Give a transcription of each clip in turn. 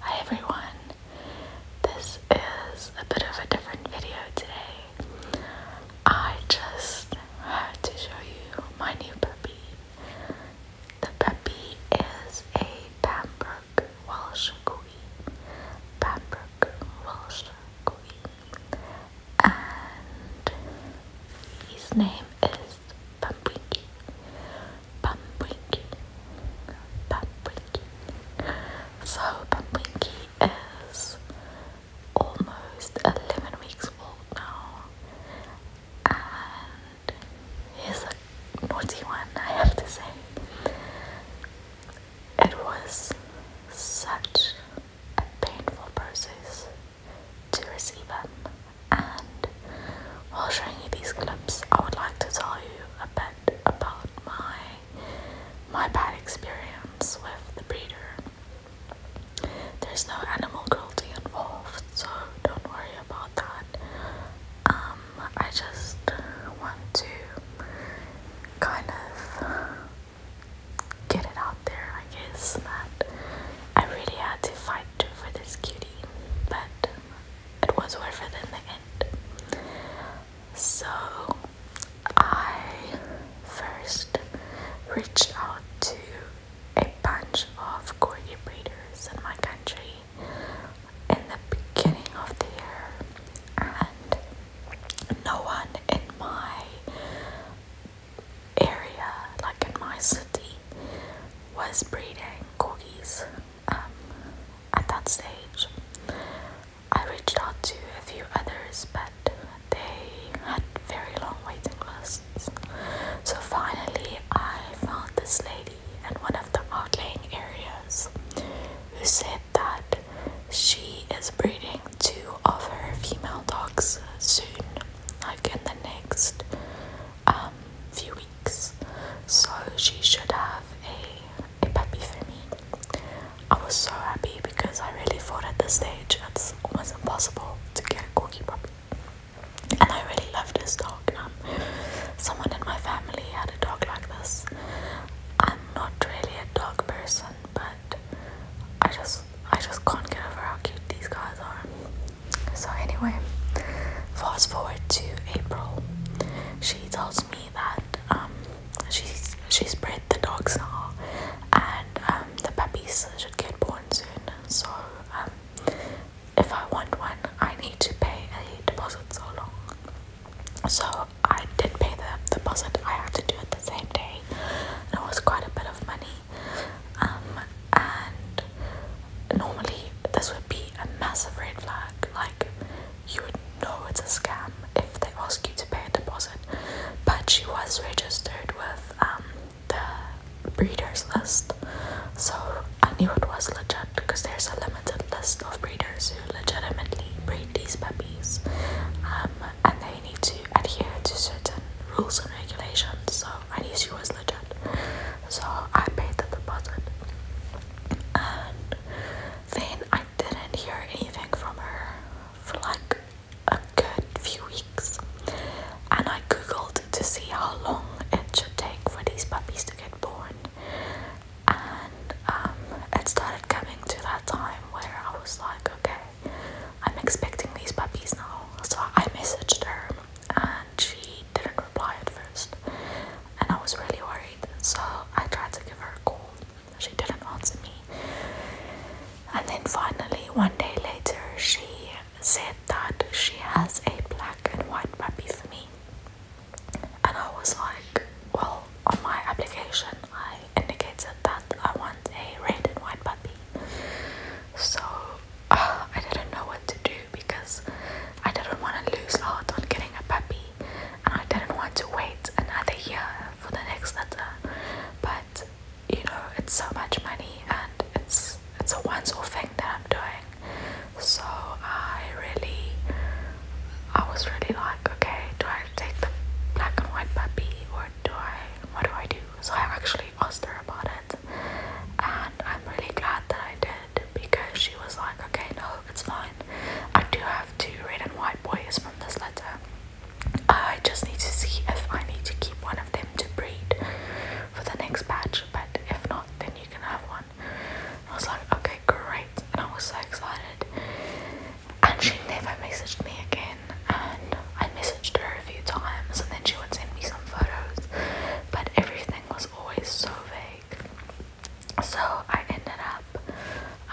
Hi everyone, this is a bit of a different video today. I just had to show you my new puppy. The puppy is a Pembroke Welsh Queen. Pembroke Welsh Queen. And his name is Pumpkinky. Bumblebee. Bumblebee. So Bumblebee is almost eleven weeks old now, and he's a naughty one. I have to say, it was such a painful process to receive him and while showing you these clips, I would like to tell you a bit about my my bad experience with the breeder. There's no animal cruelty involved, so don't worry about that. Um, I just want to kind of get it out there, I guess, that I really had to fight for this cutie, but it was worth it in the end. So I first reached out to a bunch of corgi breeders in my country in the beginning of the year, and no one in my area, like in my city, was breeding corgis. Um, at that stage, I reached out to a few others, but they had very long waiting lists. So finally, I found this lady in one of the outlying areas who said that she is breeding two of her female dogs soon, like in the next um, few weeks, so she should have a, a puppy for me. I was so happy because I really thought at this stage it's almost impossible to get a corgi puppy, and I really love this dog. Um, someone in my family had a dog like this. I'm not really a dog person, but I just I just can't get over how cute these guys are. So, anyway, fast forward to April. She tells me that um, she's, she's bred the dogs now and um, the puppies should get born soon. So, um, if I want one, I need to pay a deposit so long. So, I did pay the deposit, I had to do it the same day, and it was quite a bit of money. Um, and normally this would be a massive red flag. Like you would know it's a scam if they ask you to pay a deposit. But she was registered with um, the breeders list, so I knew it was legit because there's a limited list of breeders who legitimately breed these puppies, um, and they need to adhere to certain rules and regulations. So I knew she was legit. So I paid the deposit. then I didn't hear anything from her for like a good few weeks. And I googled to see how long it should take for these puppies to get born. And um, it started coming to that time where I was like, okay, I'm expecting these puppies now. So I messaged her and she didn't reply at first, and I was really worried. So I tried to give her a call, she didn't answer me. And then finally, one day later, she said that she has a black and white puppy for me, and I was like, Well, on my application, I indicated that I want a red and white puppy. So I didn't know what to do because I didn't want to lose out on getting a puppy and I didn't want to wait another year for the next litter. But you know, it's so much money and it's it's a once-off thing that I'm doing. So I really, I was really like, okay, do I take the black and white puppy or do I, what do I do? So I actually asked her about it and I'm really glad that I did because she was like, okay, no, it's fine. I do have two red and white boys from this litter. I just need to see if I need to keep one of them to breed for the next batch, but if not, then you can have one. I was like, okay, great, and I was so excited. And she never messaged me again and I messaged her a few times and then she would send me some photos, but everything was always so vague. So I ended up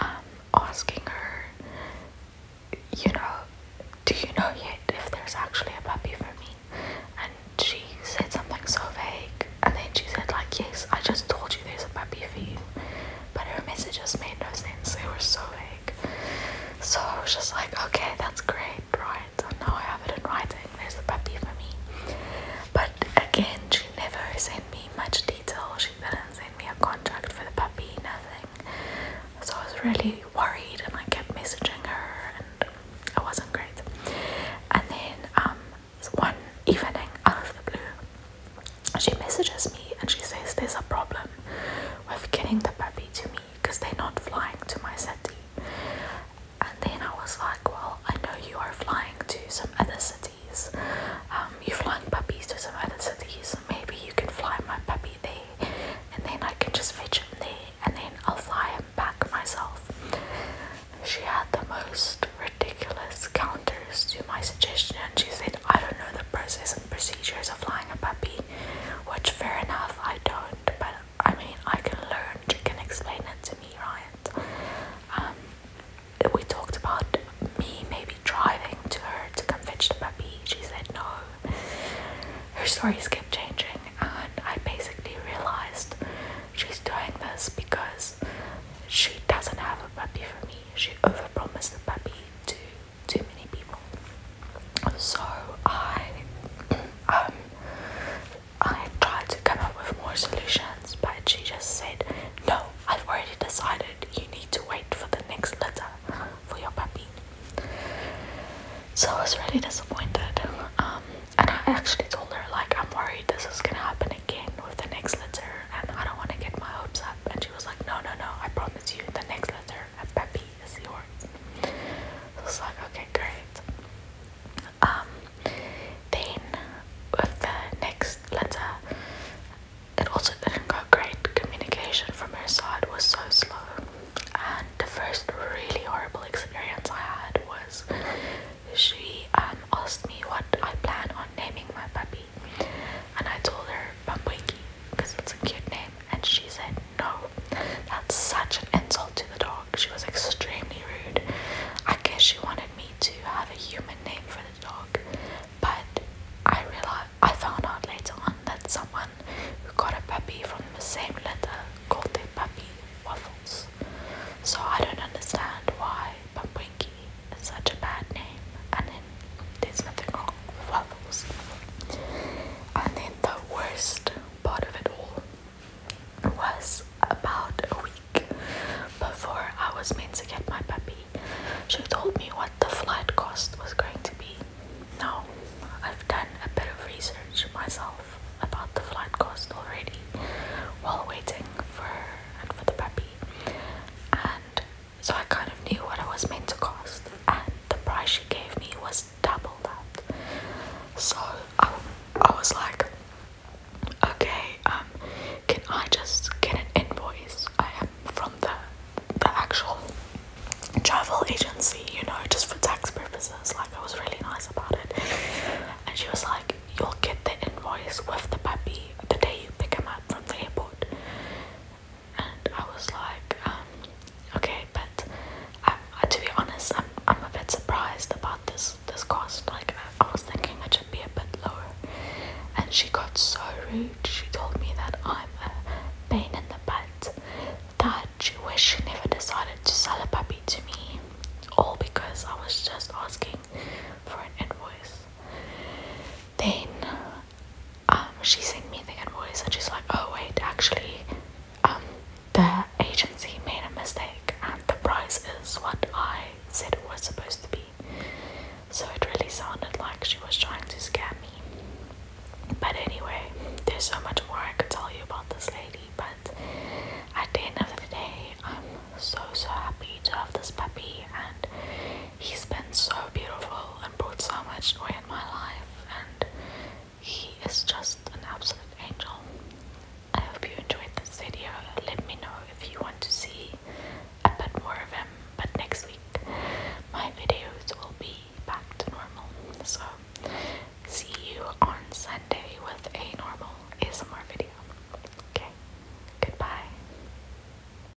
um, asking her, you know, do you know yet if there's actually a puppy for me? And she said something so vague, and then she said, like, yes, I just told you there's a puppy for you. But her messages made no sense, they were so vague. So I was just like, okay, that's great, right? So now I have it in writing. There's a puppy for me. But again, she never sent me much detail. She didn't send me a contract for the puppy, nothing. So I was really worried and I kept messaging her and it wasn't great. And then um, one evening, out of the blue, she messages me and she says there's a problem with getting the puppy to me because they're not flying to my city. And then I was like, well, I know you are flying to some other cities. Um, you're flying puppies to some other cities. Maybe you can fly my puppy there, and then I can just fetch him there, and then I'll fly him back myself. She had the most ridiculous counters to my suggestion. and She said, I don't know the process and procedures of flying a puppy which fair enough, I don't, but I mean, I can learn, you can explain it to me, right? Um, we talked about me maybe driving to her to come fetch the puppy, she said no. Her stories kept changing, and I basically realized she's doing this because she doesn't have a puppy for me. She overpromised the puppy to too many people. So I um I tried to come up with more solutions, but she just said, No, I've already decided you need to wait for the next litter for your puppy. So I was really disappointed. Um, and I actually told her, like, I'm worried this is gonna happen again with the next litter, and I don't want to get my hopes up. And she was like, No, no, no, I promise you, the next litter, a puppy is yours. So it's like, okay, great. Um, then with the next letter, it also didn't great. Communication from her side was so slow. And the first really horrible experience I had was she um, asked me what I plan on naming my puppy. And I told her Bumwinky because it's a cute name. And she said, No, that's such an insult to the dog. She was extremely rude. I guess she wanted me to have a human name for the dog, but I realized I found out later on that someone who got a puppy from the same litter called their puppy Waffles. So I don't understand why Pampwinky is such a bad name and there's nothing wrong with waffles. And then the worst part of it all was about a week before I was meant to get my puppy. She told me what the flight cost was going to be. Now, I've done a bit of research myself about the flight cost already while waiting for and for the puppy. And so I kind of knew what it was meant to cost, and the price she gave me was double that. So I, I was like, okay, um, can I just get an invoice I am from the the actual travel agency, you know, just for tax purposes? Like I was really nice about it, and she was like, you'll get the invoice with the puppy the day you pick him up from the airport and I was like, um, okay, but I, I, uh, to be honest, I'm I'm a bit surprised about this this cost. Like I, was thinking it should be a bit lower, and she got so rude. She told me that I'm a pain in the butt. That she wish she never decided to sell a puppy to me, all because I was just asking for an invoice. Then um, she sent me the invoice and she's like, oh wait, actually, um, the agency made a mistake and the price is what I said it was supposed to be. So it really sounded like she was trying to scam me. But anyway, there's so much more I could tell you about this lady, but at the end of the day, I'm so so happy to have this puppy and he's been so beautiful and brought so much joy in my life, and he is just an absolute angel. I hope you enjoyed this video. Let me know if you want to see a bit more of him, but next week my videos will be back to normal. So, see you on Sunday with a normal ASMR video. Okay, goodbye.